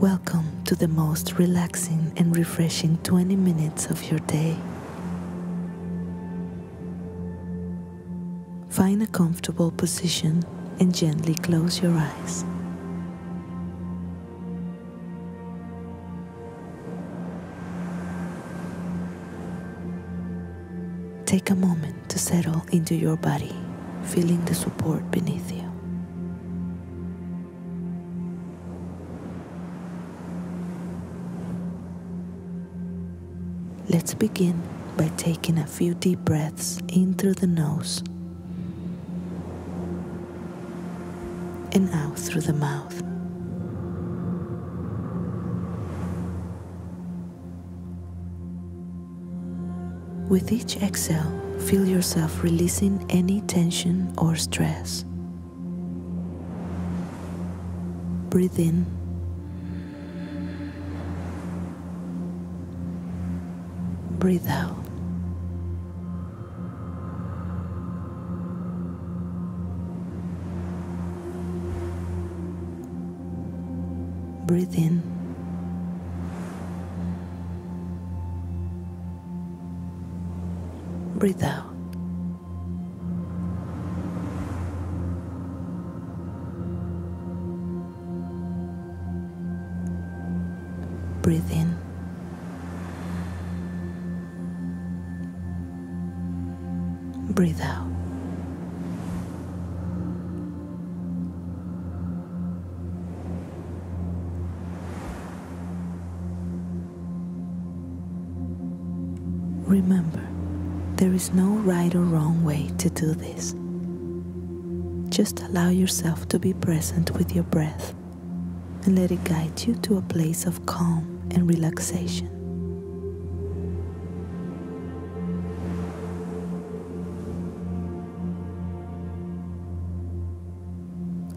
Welcome to the most relaxing and refreshing 20 minutes of your day. Find a comfortable position and gently close your eyes. Take a moment to settle into your body, feeling the support beneath you. Let's begin by taking a few deep breaths in through the nose and out through the mouth. With each exhale, feel yourself releasing any tension or stress. Breathe in. Breathe out. Breathe in breathe out. Breathe in. Breathe out. Remember, there is no right or wrong way to do this. Just allow yourself to be present with your breath and let it guide you to a place of calm and relaxation.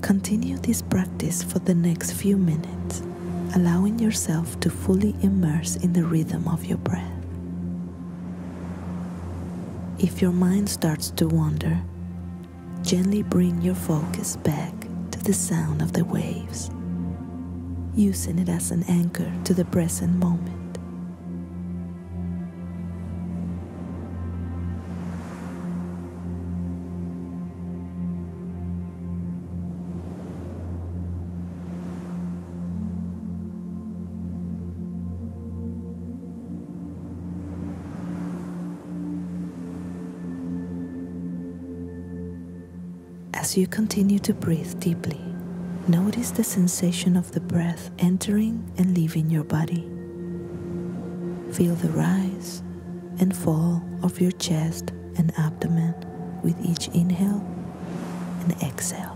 Continue this practice for the next few minutes, allowing yourself to fully immerse in the rhythm of your breath. If your mind starts to wander, Gently bring your focus back to the sound of the waves, using it as an anchor to the present moment. As you continue to breathe deeply, notice the sensation of the breath entering and leaving your body. Feel the rise and fall of your chest and abdomen with each inhale and exhale.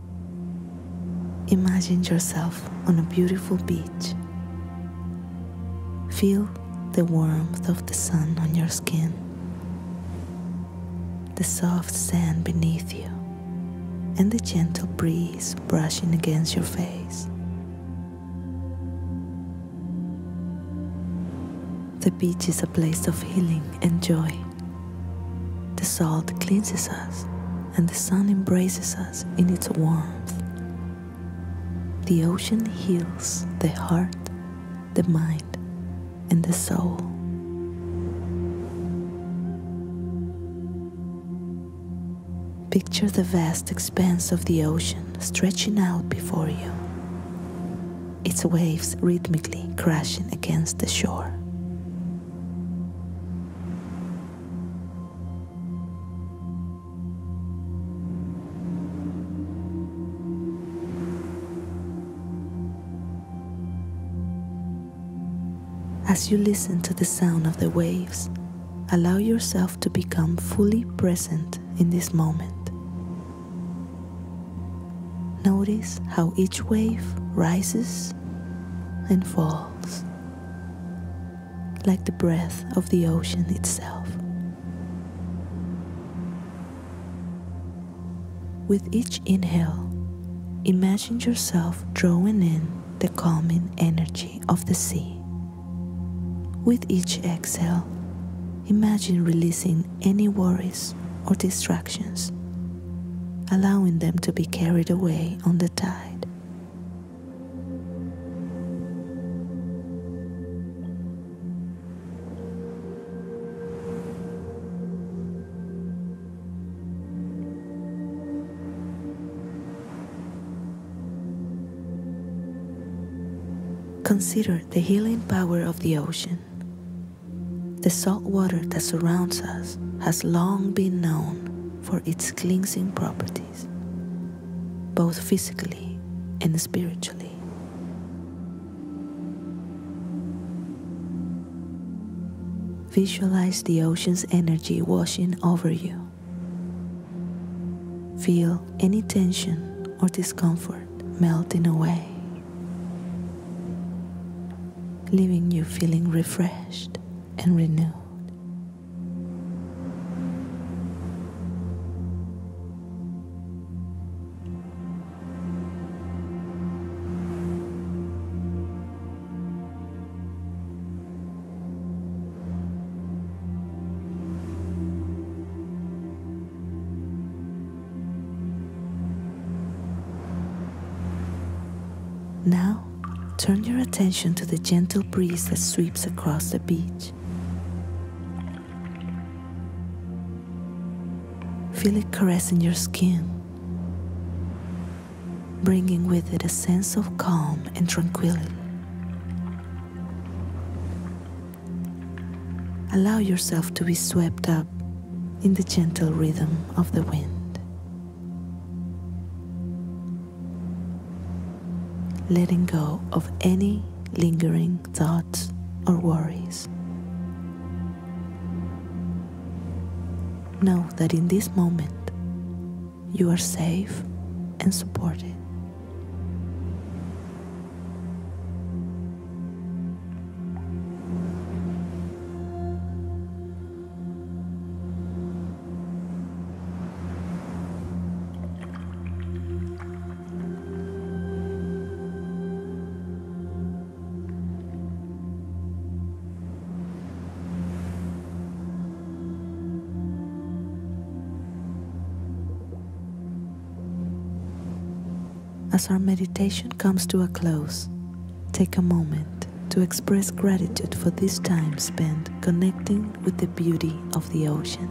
Imagine yourself on a beautiful beach. Feel the warmth of the sun on your skin, the soft sand beneath you, and the gentle breeze brushing against your face. The beach is a place of healing and joy. The salt cleanses us, and the sun embraces us in its warmth. The ocean heals the heart, the mind, and the soul. Picture the vast expanse of the ocean stretching out before you, its waves rhythmically crashing against the shore. As you listen to the sound of the waves, allow yourself to become fully present in this moment. Notice how each wave rises and falls like the breath of the ocean itself. With each inhale, imagine yourself drawing in the calming energy of the sea. With each exhale, imagine releasing any worries or distractions allowing them to be carried away on the tide. Consider the healing power of the ocean. The salt water that surrounds us has long been known for its cleansing properties, both physically and spiritually. Visualize the ocean's energy washing over you. Feel any tension or discomfort melting away, leaving you feeling refreshed and renewed. Now turn your attention to the gentle breeze that sweeps across the beach. Feel it caressing your skin, bringing with it a sense of calm and tranquility. Allow yourself to be swept up in the gentle rhythm of the wind letting go of any lingering thoughts or worries. Know that in this moment you are safe and supported. As our meditation comes to a close, take a moment to express gratitude for this time spent connecting with the beauty of the ocean.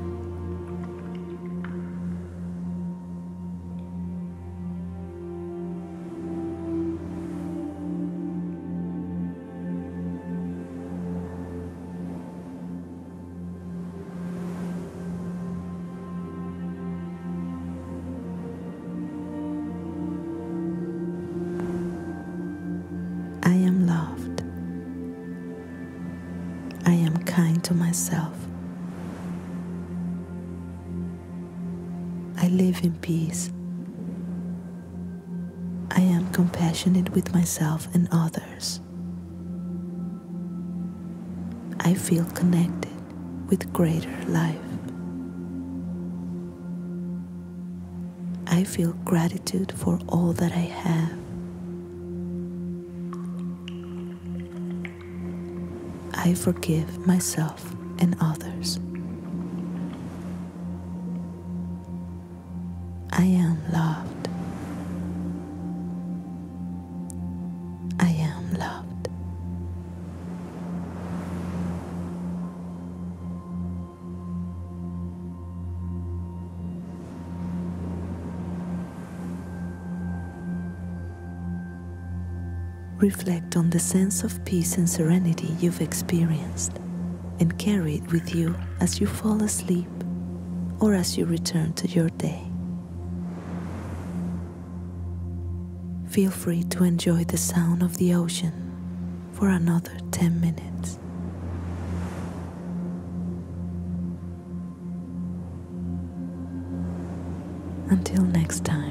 I am loved. I am kind to myself. I live in peace. I am compassionate with myself and others. I feel connected with greater life. I feel gratitude for all that I have. I forgive myself and others. I am loved. I am loved. Reflect on the sense of peace and serenity you've experienced and carry it with you as you fall asleep or as you return to your day. Feel free to enjoy the sound of the ocean for another 10 minutes. Until next time.